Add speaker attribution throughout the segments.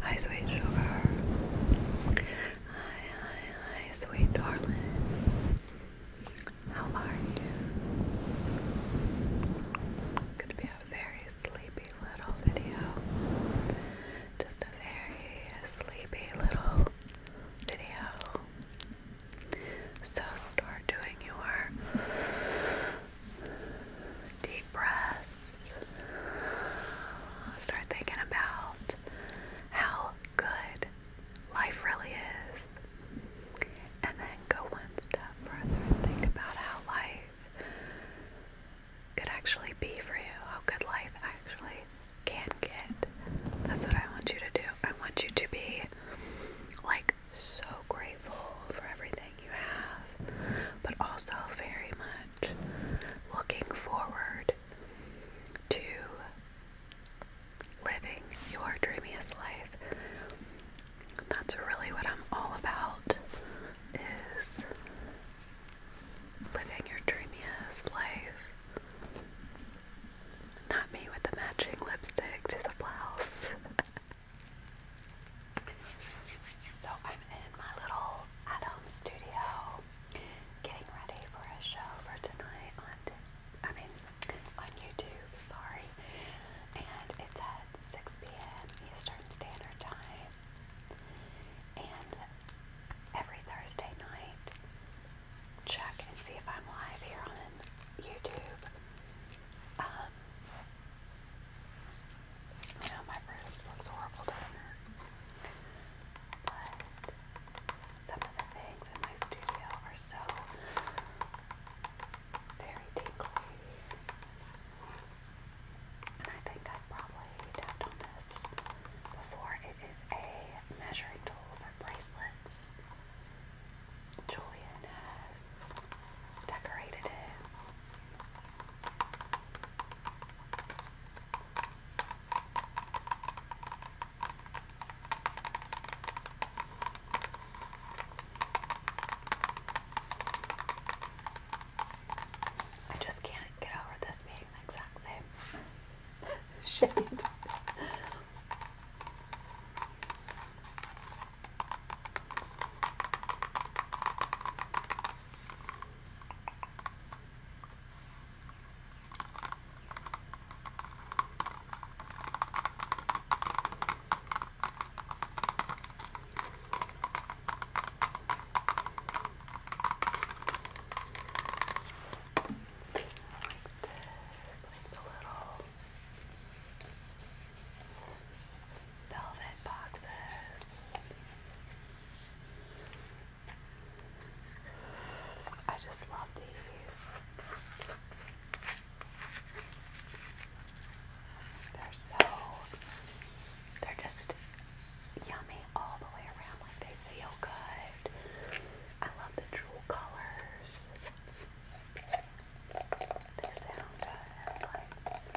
Speaker 1: Hi, sweet sugar. Hi, hi, hi, sweet darling. How are you? Could be a very sleepy little video. Just a very sleepy little video. So start doing your Deep breaths. Start thinking about how good life really is. And then go one step further and think about how life could actually be for you, how good life actually can get. That's what I want you to do. I want you to be like so grateful for everything feeling you have, but also very much looking forward to living your dreamiest life. That's really what I'm all about is living your dreamiest life. Not me with the matching lipstick to the blouse. So I'm in my little at home studio getting ready for a show for tonight on I mean on YouTube, sorry. And it's at 6 p.m. Eastern Standard Time. And every Thursday night check and see if I'm live here on YouTube. Um, know my bruise looks horrible, But some of the things in my studio are so very tingly. And I think I've probably tapped on this before. It is a measuring tool for bracelets. Julian has decorated it I just can't get over this being the exact same shade. Like this, like the little velvet boxes. I just love these. They're so, they're just yummy all the way around. Like they feel good. I love the jewel colors. They sound like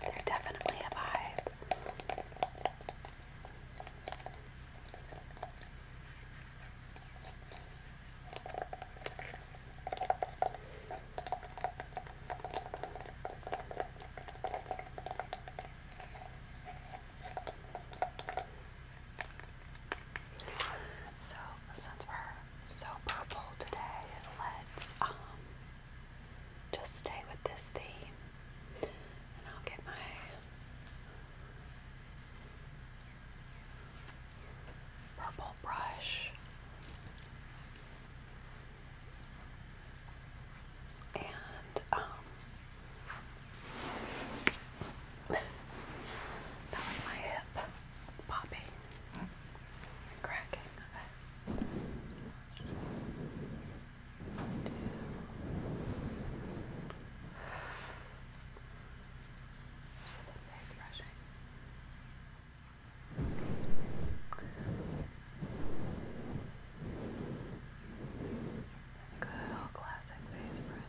Speaker 1: they're definitely a so since we're so purple today, let's um just stay with this theme, and I'll get my purple brush and um that was my hip popping cracking Good old classic face brushing.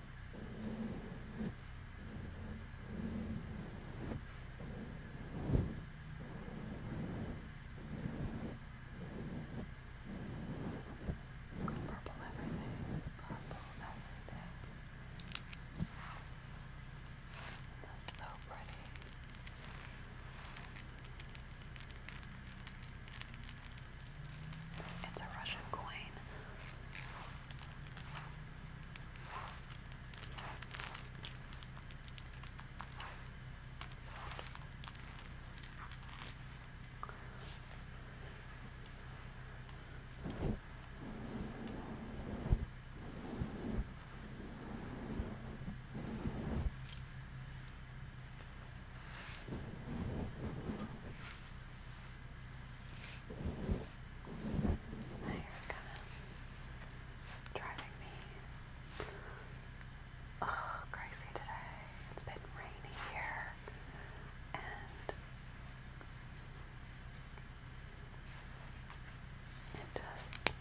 Speaker 1: Purple everything, purple everything. That's so pretty. It's a Russian coin. My hair's kind of driving me oh, crazy today. It's been rainy here, and it just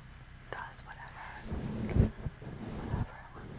Speaker 1: does whatever, whatever it wants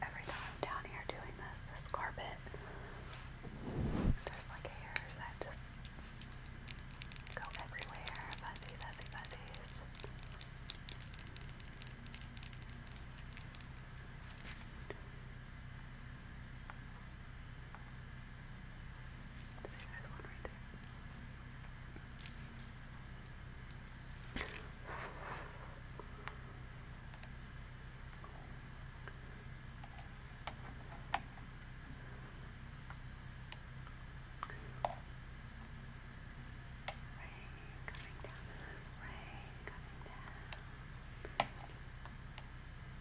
Speaker 1: Every time I'm down here doing this, this carpet, there's like hairs that just go everywhere. Fuzzy, fuzzy, fuzzies. See, there's one right there. Rain coming down, rain coming down.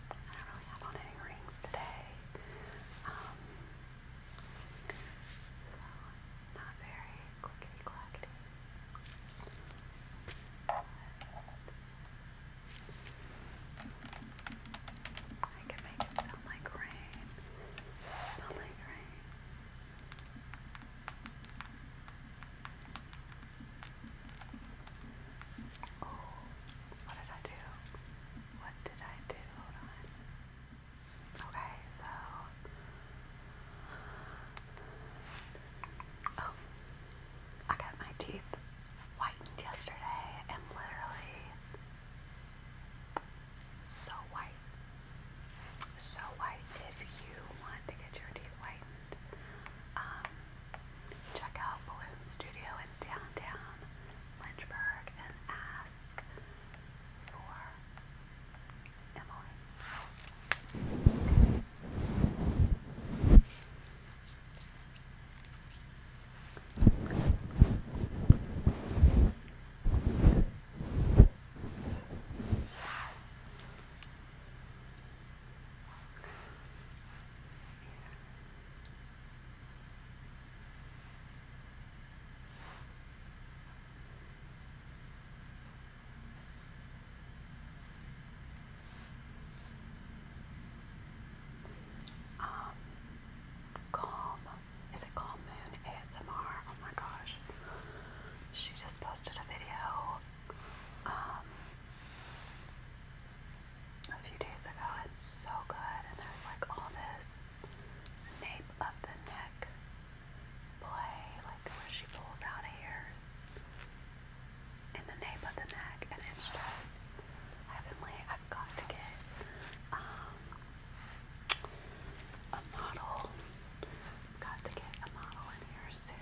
Speaker 1: I don't really have on any rings today. Um, so, not very clickety clackety. I can make it sound like rain. Sound like rain. Oh, what did I do? What did I do? Hold on. Okay, so. Oh, I got my teeth whitened yesterday and literally so white. So white. If you want to get your teeth whitened, um, check out Balloon Studio in downtown Lynchburg and ask for Emily. Um, Calm. Is it Calm Moon ASMR? Oh my gosh. She just posted a video um, a few days ago. It's so good, and there's like all this nape of the neck play, like where she pulls out of here in the nape of the neck, and it's just heavenly. I've got to get um, a model Got to get a model in here soon.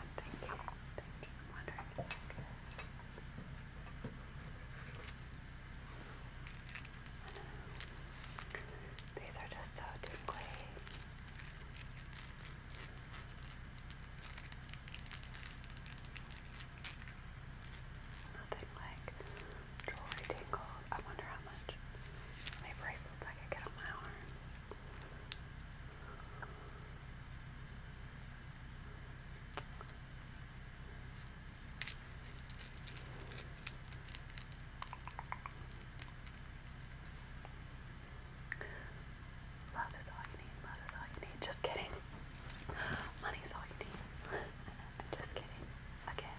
Speaker 1: I'm thinking, I could. I These are just so tingly. Nothing like jewelry tingles. I wonder how much my bracelets I could get on my arm. Love is all you need, love is all you need. Just kidding. Money's all you need. Just kidding. Again.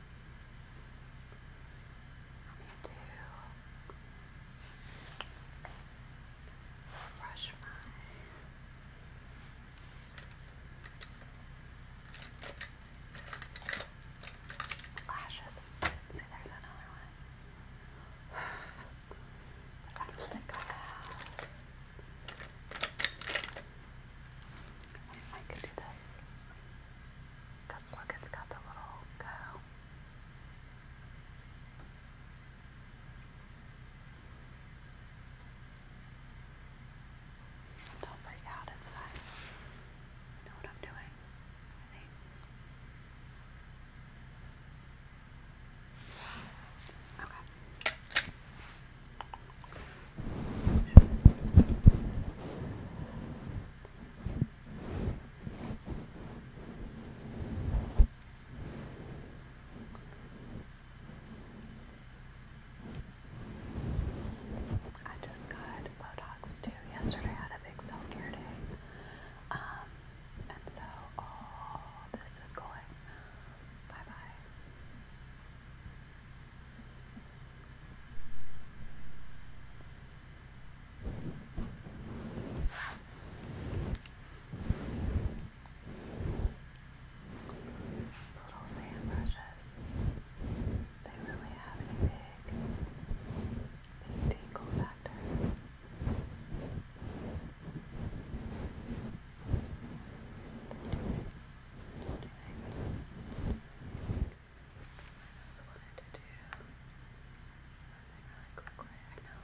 Speaker 1: need to brush my lashes. See, there's another one. I don't think I have. do this. Because look, it's got the little go. Don't freak out, it's fine. I know what I'm doing, Okay. I just got Botox too. Yesterday I had a big self care day. Um, and so all oh, this is going bye bye. These little fan brushes, they really have a big, big factor just wanted to do something really quickly, I know.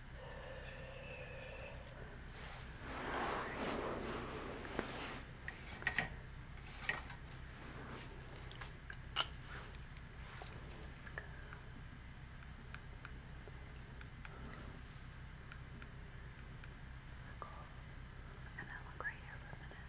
Speaker 1: Circle. And then look right here for a minute.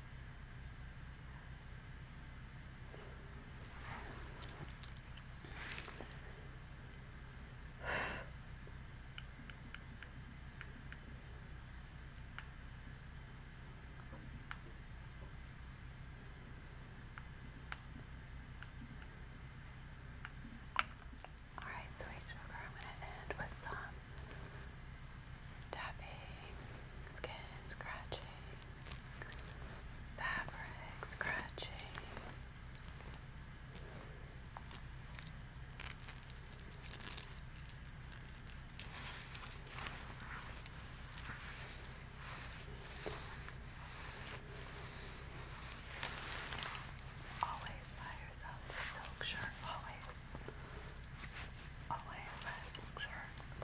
Speaker 1: Alright, sweet I'm going to end with some tapping, skin scratching, fabric scratching. Always buy yourself silk shirt. Always. Always a silk shirt.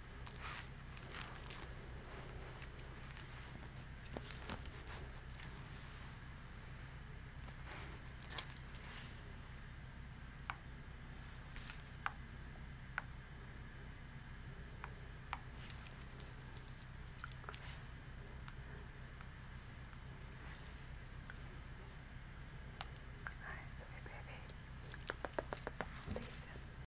Speaker 1: Alright, sweet baby. See you soon.